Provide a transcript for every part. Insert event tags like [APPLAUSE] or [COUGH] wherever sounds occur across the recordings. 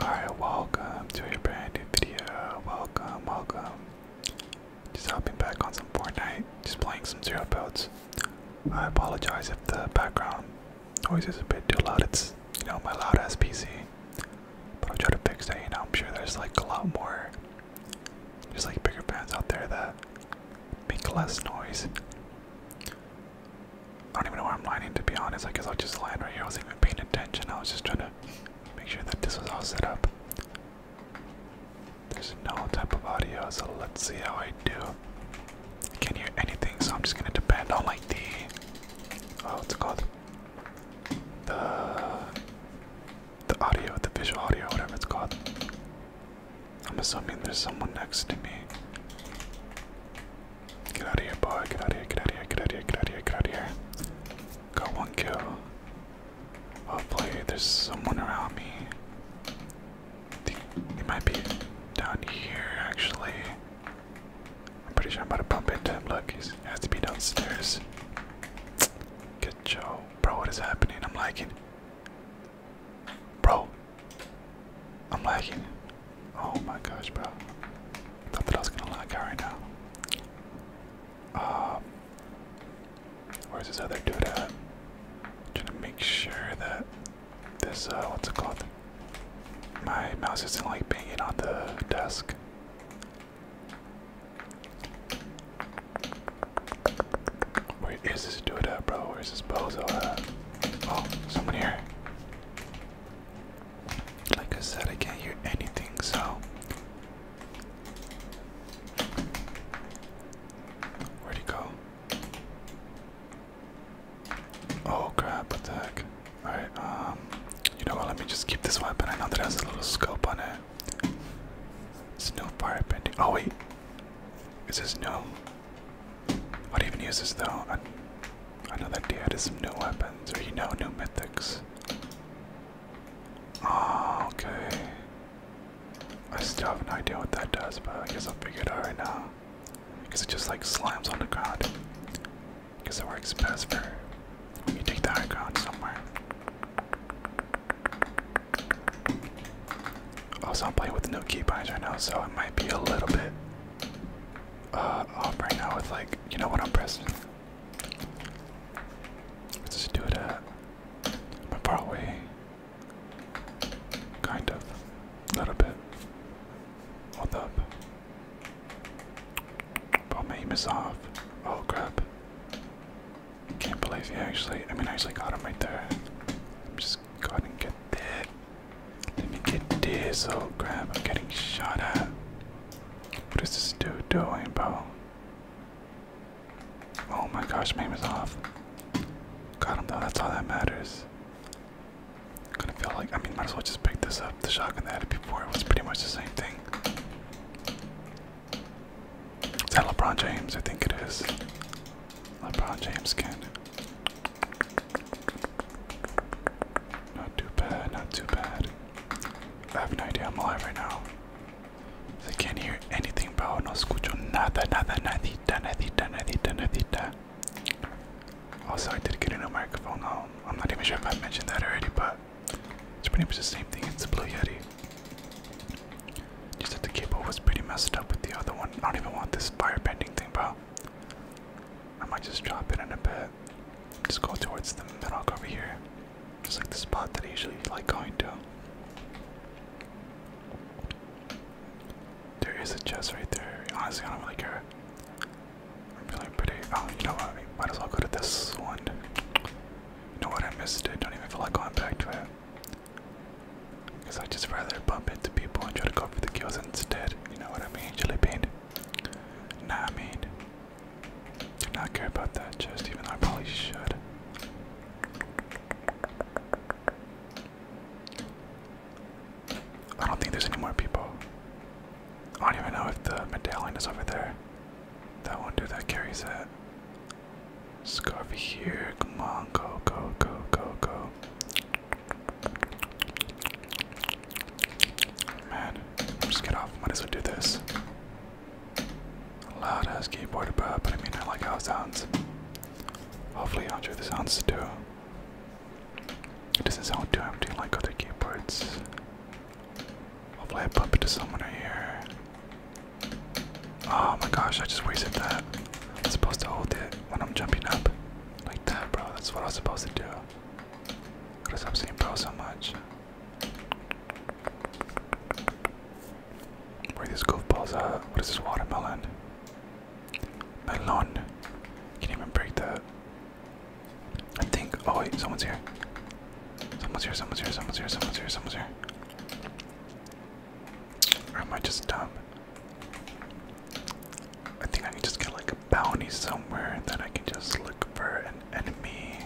Alright, welcome to a brand new video. Welcome, welcome. Just hopping back on some Fortnite, just playing some zero builds. I apologize if the background noise is a bit too loud. It's, you know, my loud ass PC. But I'll try to fix that, you know. I'm sure there's like a lot more, there's like bigger fans out there that make less noise. I don't even know where I'm lying, to be honest. I guess i was just lying right here. I wasn't even paying attention. I was just trying to make sure that this was all set up. There's no type of audio, so let's see how I do. I can't hear anything, so I'm just gonna depend on like the oh, what's called? The the audio, the visual audio, whatever it's called. I'm assuming there's someone next to me. Get out of here, boy. Get out of here, get out of here, get out of here, get out of here, get Got one kill. Hopefully, oh, there's someone around me. It might be down here, actually. I'm pretty sure I'm about to bump into him. Look, he has to be downstairs. Get Joe. Bro, what is happening? I'm lagging. Bro. I'm lagging. Oh my gosh, bro. Thought that I was gonna like out right now. Um, where's this other dude at? Trying to make sure that this, uh, what's it called? My mouse isn't like banging on the desk. Where is this dude at, bro? Where's this bozo Oh, someone here. Like I said, I can't hear anything, so. Where'd he go? Oh crap, what the heck? Alright, um, you know what? Let me just keep this weapon. I know that has a little scope on it. It's no fire pending. Oh, wait. Is this no? What don't even use this though. I know that he added some new weapons, or you know, new mythics. Oh, okay. I still have no idea what that does, but I guess I'll figure it out right now. Because it just like slams on the ground. Because it works best for when you take the high ground somewhere. Also, I'm playing with no keybinds right now, so it might be a little bit uh, up right now with like, you know what I'm pressing? Let's just do that. at far away. Kind of. A little bit. Hold up. Oh, my aim is off. Oh, crap. Can't believe he actually, I mean, I actually got him right there. I'm just go ahead and get that. Let me get this. Oh crap, I'm getting shot at. What is this dude doing, bro? Oh my gosh, aim is off. Got him though, that's all that matters. i gonna feel like, I mean, might as well just pick this up. The shotgun that I before it was pretty much the same thing. Is that LeBron James? I think it is. LeBron James can. Not too bad, not too bad. I have no idea I'm alive right now. I can't hear anything, bro. No escucho nada, nada, nadita, nadita, nadita, nadita. Also, I did get a new microphone. Oh, I'm not even sure if I mentioned that already, but it's pretty much the same thing. It's a Blue Yeti. Just that the cable was pretty messed up with the other one. I don't even want this fire bending thing, bro. I might just drop it in a bit. Just go towards the rock over here. Just like the spot that I usually like going to. There is a chest right there. Honestly, I don't really care. I'm feeling pretty. Oh, you know what? I might as well go to this one. You know what? I missed it. Don't even feel like going back to it. Because I just rather bump into people and try to go for the kills instead. You know what I mean? Jelly bean. Nah, I mean, do not care about that chest, even though I probably should. I don't think there's any more people. I don't even know if the medallion is over there. That one dude that carries that. Let's go over here. Come on, go, go, go, go, go. Man, just get off. Might as well do this. Loud ass keyboard, but I mean, I like how it sounds. Hopefully, you enjoy the sounds too. It doesn't sound too empty like other keyboards. Hopefully, I bump into someone right here. Oh my gosh, I just wasted that. I'm supposed to hold it when I'm jumping up. Like that, bro. That's what I was supposed to do. Because I've seen Bell so much. Where these goofballs at? What is this watermelon? Melon. Can't even break that. I think. Oh wait, someone's here. Someone's here. Someone's here. Someone's here. Someone's here. Someone's here. Or am I just dumb? I think I can just get like a bounty somewhere and then I can just look for an enemy.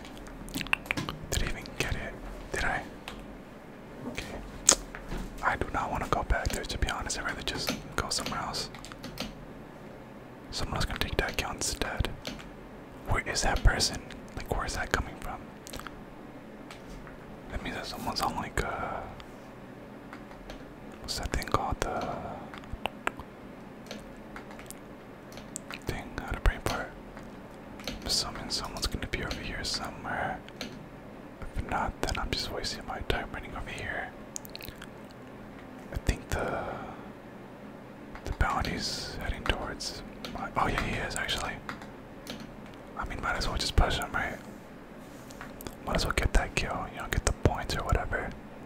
Did I even get it? Did I? Okay. I do not want to go back there to be honest. I'd rather just go somewhere else. Someone else can take that kill instead. Where is that person? Like where is that coming from? That means that someone's on like a uh, what's that thing called the Dang, how to pray for it. I'm assuming someone's gonna be over here somewhere. If not, then I'm just wasting my time running over here. I think the the bounty's heading towards. oh yeah, he is actually. I mean, might as well just push him, right? Might as well get that kill, you know, get the points or whatever.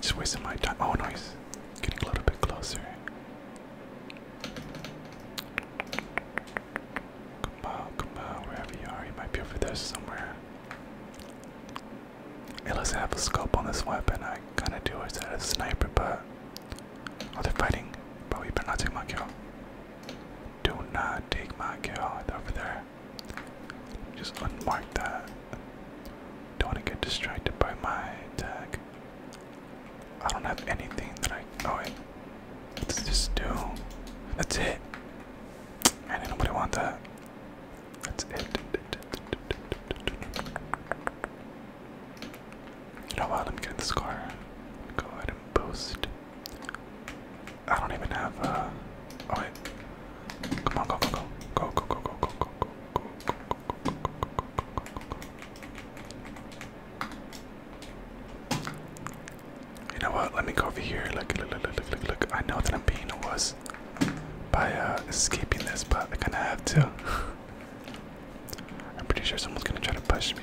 Just wasting my time. Oh, nice. Getting a little bit closer. Come out, come out, wherever you are. You might be over there somewhere. It doesn't have a scope on this weapon. I kind of do wish that a sniper, but. Oh, they're fighting. But we better not take my kill. Do not take my kill. over there. Just unmark that. Don't want to get distracted by my tag. I don't have anything that I. Oh wait, let's just do. That's it. Man, ain't nobody want that. That's it. You know what? Let me get in this car. Go ahead and boost. I don't even have. a. Uh, oh wait. Come on, go, go, go, go, go, go, go, go, go, go, you know what? Let me go over here. Look, look, look, look, look, look. I know that I'm being a wuss by uh, escaping this, but I am gonna have to. I'm pretty sure someone's gonna try to push me.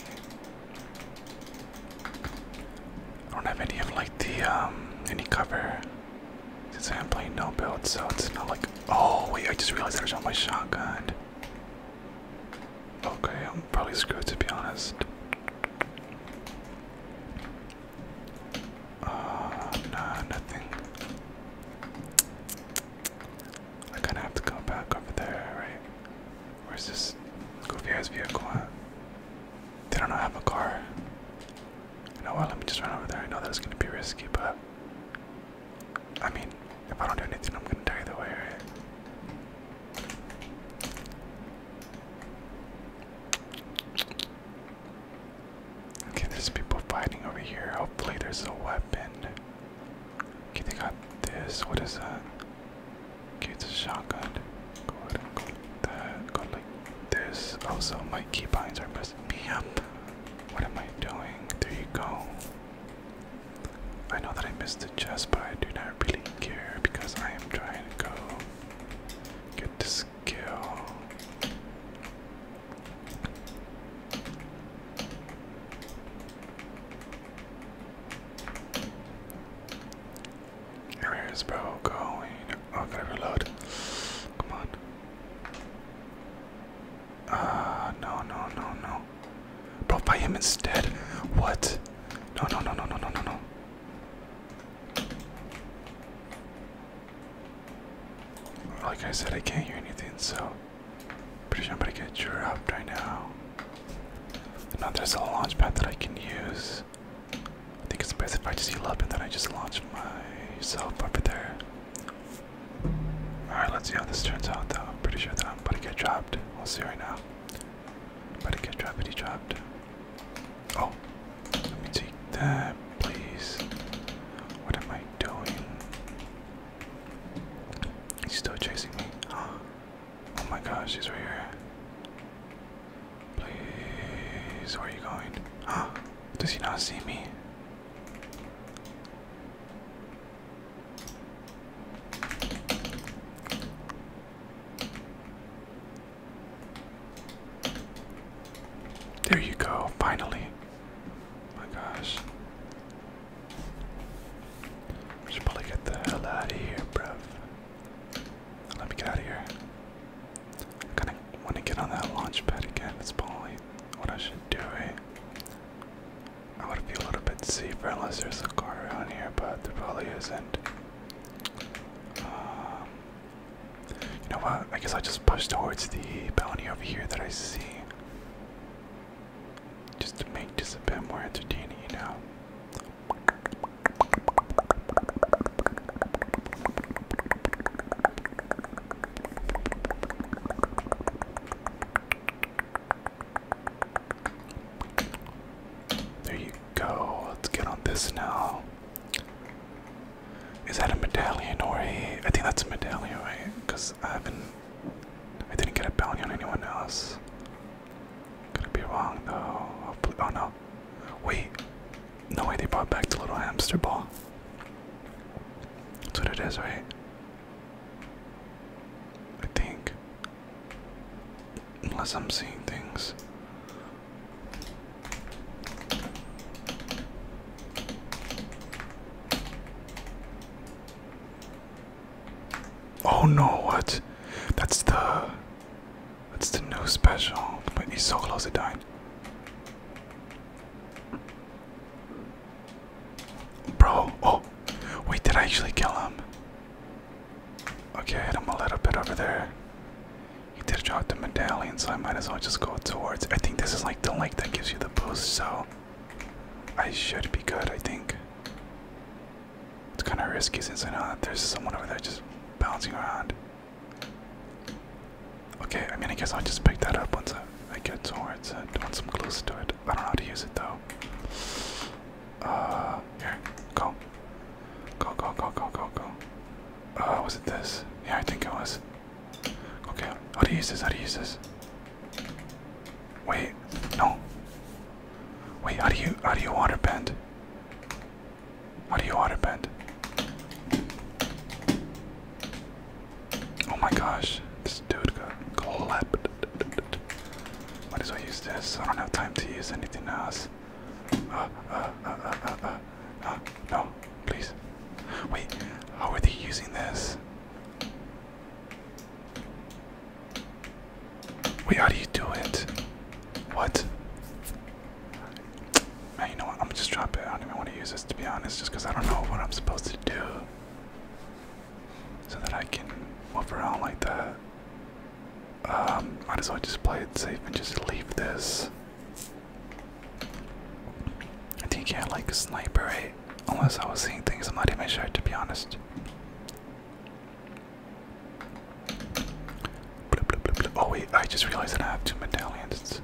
I don't have any of like the um any cover. Since I am playing no build, so it's not like. Oh, wait, I just realized I shot my shotgun. Okay, I'm probably screwed to be honest. Uh, nah, nothing. I kinda have to go back over there, right? Where's this goofy ass vehicle at? They don't have a car. You know what? Let me just run over there. I know that it's gonna be risky, but I mean, if I don't do anything, I'm gonna die either way, right? Okay, there's people fighting over here. Hopefully, there's a weapon. Okay, they got this. What is that? Okay, it's a shotgun. Go ahead like this. Also, my keybinds are messing me up. What am I doing? There you go. I know that I missed the chest, but I do not really care because I am trying to go get this kill. Where is bro going? Oh, got Come on. Uh, no, no, no, no. Bro, buy him instead. What? No, no, no, no, no, no, no, no. Like I said, I can't hear anything, so pretty sure I'm gonna get dropped right now. Now there's a launch pad that I can use. I think it's best if I just heal up and then I just launch myself over there. Alright, let's see how this turns out though. I'm pretty sure that I'm going to get dropped. We'll see right now. I'm about to get dropped. Oh, let me take that, please. What am I doing? He's still chasing me. [GASPS] Oh my gosh, he's right here. Please, where are you going? Huh? [GASPS] Does he not see me? There you go, finally. my gosh. We should probably get the hell out of here, bruv. Let me get out of here. I kind of want to get on that launch pad again. It's probably what I should do. Eh? I would feel a little bit safer unless there's a car around here, but there probably isn't. Um, you know what? I guess I'll just push towards the bounty over here that I see. Just to make this a bit more entertaining, you know? There you go. Let's get on this now. Is that a medallion or a? I think that's a medallion, right? Because I haven't. I didn't get a bounty on anyone else. Could be wrong though. Hopefully, oh no. Wait. No way they brought back the little hamster ball. That's what it is, right? I think. Unless I'm seeing things. Oh no, what? That's the. That's the new special. But he's so close to dying. Bro, oh, wait, did I actually kill him? Okay, I hit him a little bit over there. He did drop the medallion, so I might as well just go towards. I think this is like the lake that gives you the boost, so I should be good, I think. It's kind of risky since I know that there's someone over there just bouncing around. Okay, I mean, I guess I'll just pick that up once I, I get towards it, once I'm close to it. I don't know how to use it though. Uh, here, go. Go, go, go, go, go, go. Uh, was it this? Yeah, I think it was. Okay, how do you use this? How do you use this? Wait, no. Wait, how do you, how do you water bend? How do you water bend? Oh my gosh, this dude got clapped. Might as well use this. I don't have time to use anything else. Uh, uh, uh, uh, uh, uh. Uh, uh no, please. Wait, how are they using this? Wait, how do you do it? What? Man, you know what? I'm just drop it. I don't even want to use this to be honest, just because I don't know what I'm supposed to do. So that I can move around like that. Um, might as well just play it safe and just leave this. I think I had like a sniper, right? Unless I was seeing things I'm not even sure, to be honest. Oh wait, I just realized that I have two medallions.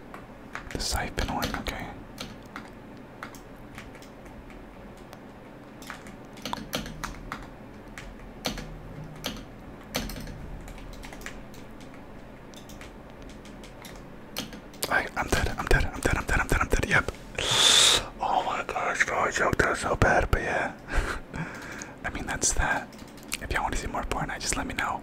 The siphon one, okay. I, I'm dead, I'm dead, I'm dead, I'm dead, I'm dead, I'm dead, yep. [GASPS] Oh my gosh, bro, choked joked out so bad, but yeah. [LAUGHS] I mean, that's that. If y'all want to see more porn, I just let me know.